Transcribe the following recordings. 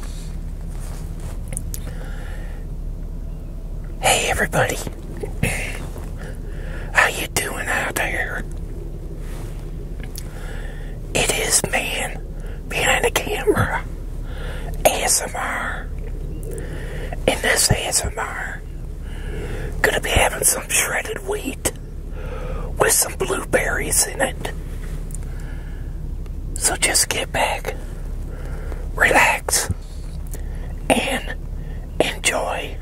Hey everybody. How you doing out there? It is man behind the camera. ASMR. In this ASMR, gonna be having some shredded wheat with some blueberries in it. So just get back, relax, and enjoy.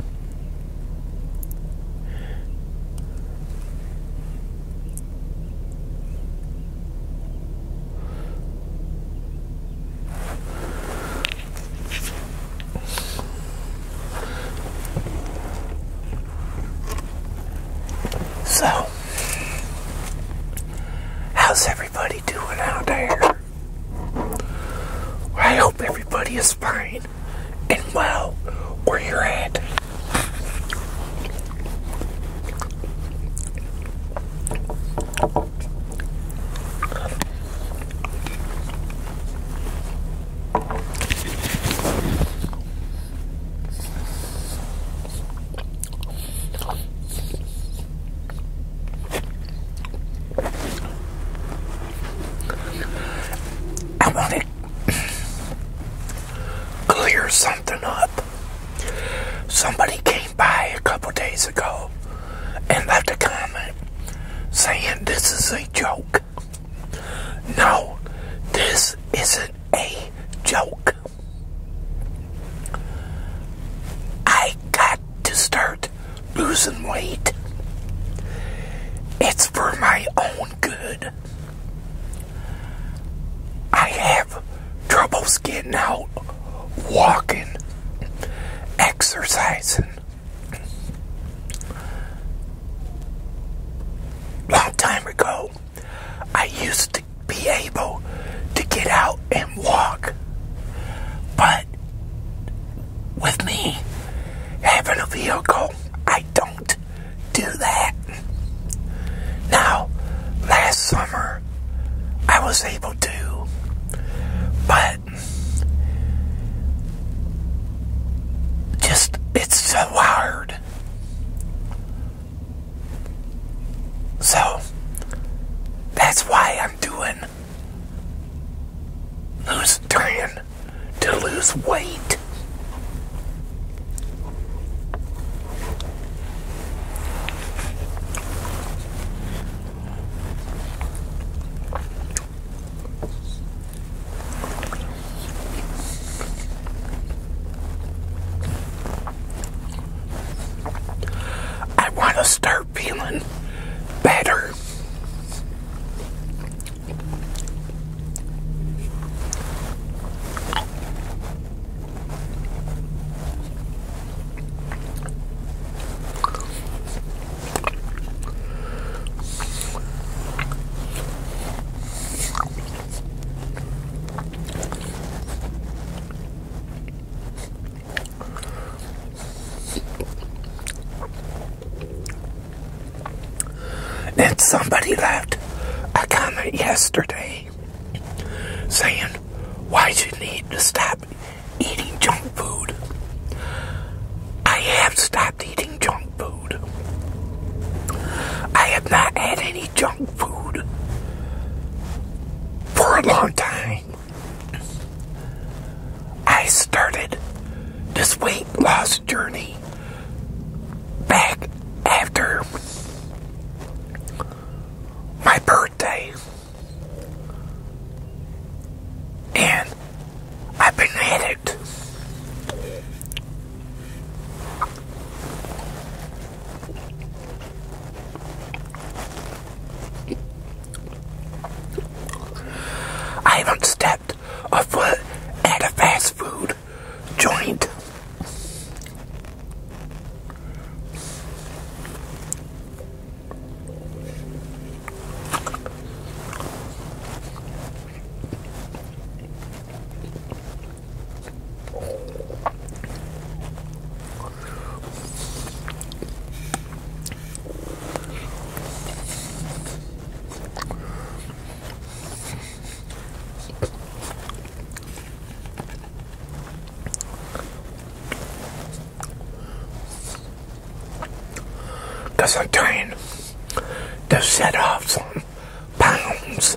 So How's everybody doing out there? I hope everybody is fine and well where you're at. I want to clear something up. Somebody came by a couple days ago and left a comment saying this is a joke. No, this isn't a joke. I got to start losing weight. It's for my own good. I have troubles getting out, walking, exercising. Long time ago, I used to be able to get out and walk. But with me having a vehicle, I don't do that. Now, last summer, I was able to, but just it's so hard so that's why I'm doing lose trying to lose weight. I want to start feeling better. And somebody left a comment yesterday saying, Why do you need to stop eating junk food? I have stopped eating junk food. I have not had any junk food for a long time. I started this weight loss journey back after my birthday. And I've been at it I haven't stepped a foot at a fast food joint. Because I'm trying to set off some pounds.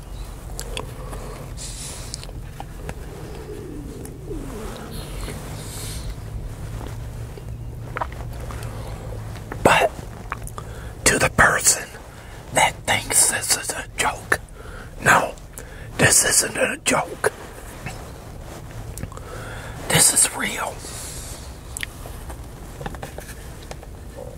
But to the person that thinks this is a joke, no, this isn't a joke. This is real.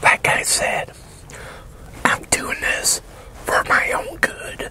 That guy said, I'm doing this for my own good.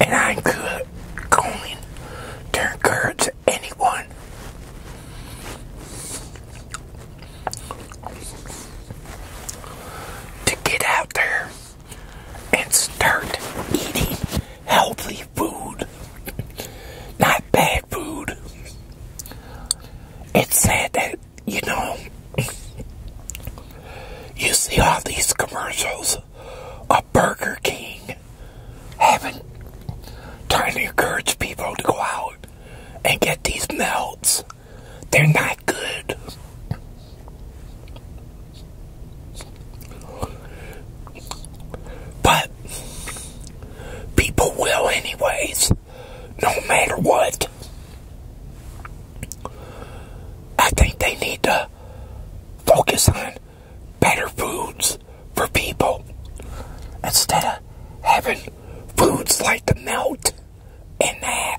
and I'm could good going to anyone to get out there and start eating healthy food, not bad food. It's sad that you know, you see all these commercials of Burger King having trying to encourage people to go out and get these melts. They're not good. But people will, anyways, no matter what. I think they need to focus on better foods for people instead of having foods like the melt and that.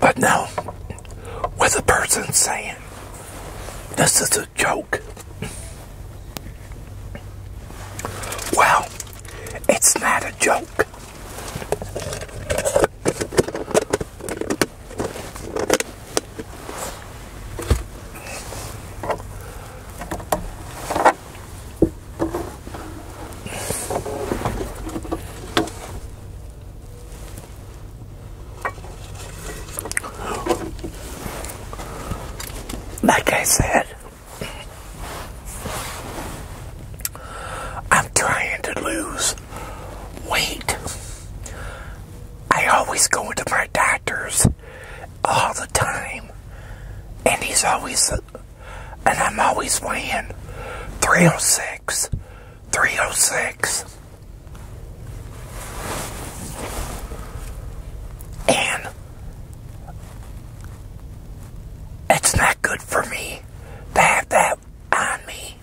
But now, with a person saying, this is a joke. Well, it's not a joke. like I said. I'm trying to lose weight. I always go to my doctor's all the time, and he's always, and I'm always weighing 306, 306. And it's not good for me to have that on me.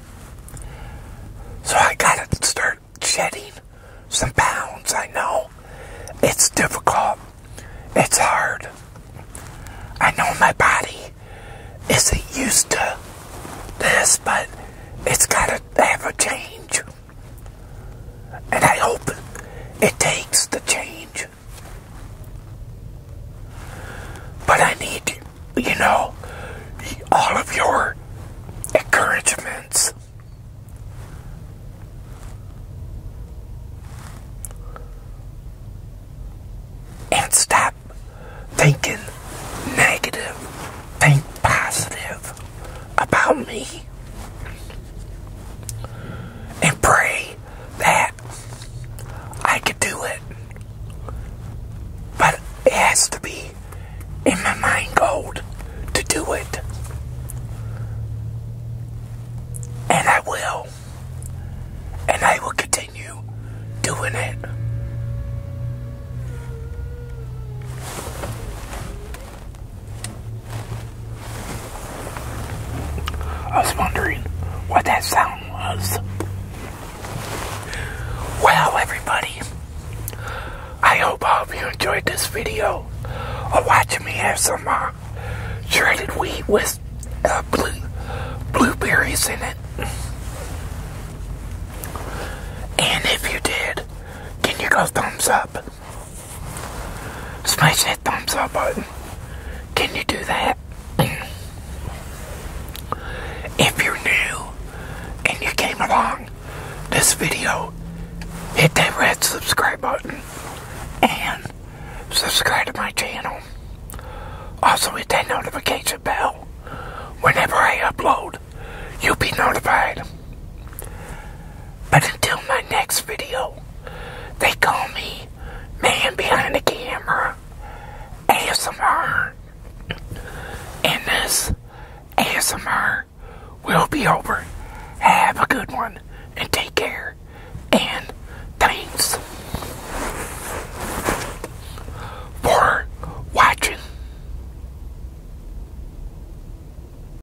So I gotta start shedding some pounds. I know it's difficult, it's hard. I know my body isn't used to this, but it's gotta ever change. And I hope it takes the change. But I need, you know, all of your encouragements. And stop thinking negative. Think positive about me and pray that I could do it. But it has to be in my mind gold to do it. And I will. And I will continue doing it. I was wondering what that sound was. Well, everybody, I hope all of you enjoyed this video of watching me have some uh, shredded wheat with uh, blue, blueberries in it. And if you did, can you go thumbs up? Smash that thumbs up button. Can you do that? if you're new and you came along this video, hit that red subscribe button and subscribe to my channel. Also hit that notification bell. Whenever I upload, you'll be notified. But until my next video, they call me Man Behind the Camera ASMR. And this ASMR will be over. Have a good one and take care. And thanks for watching.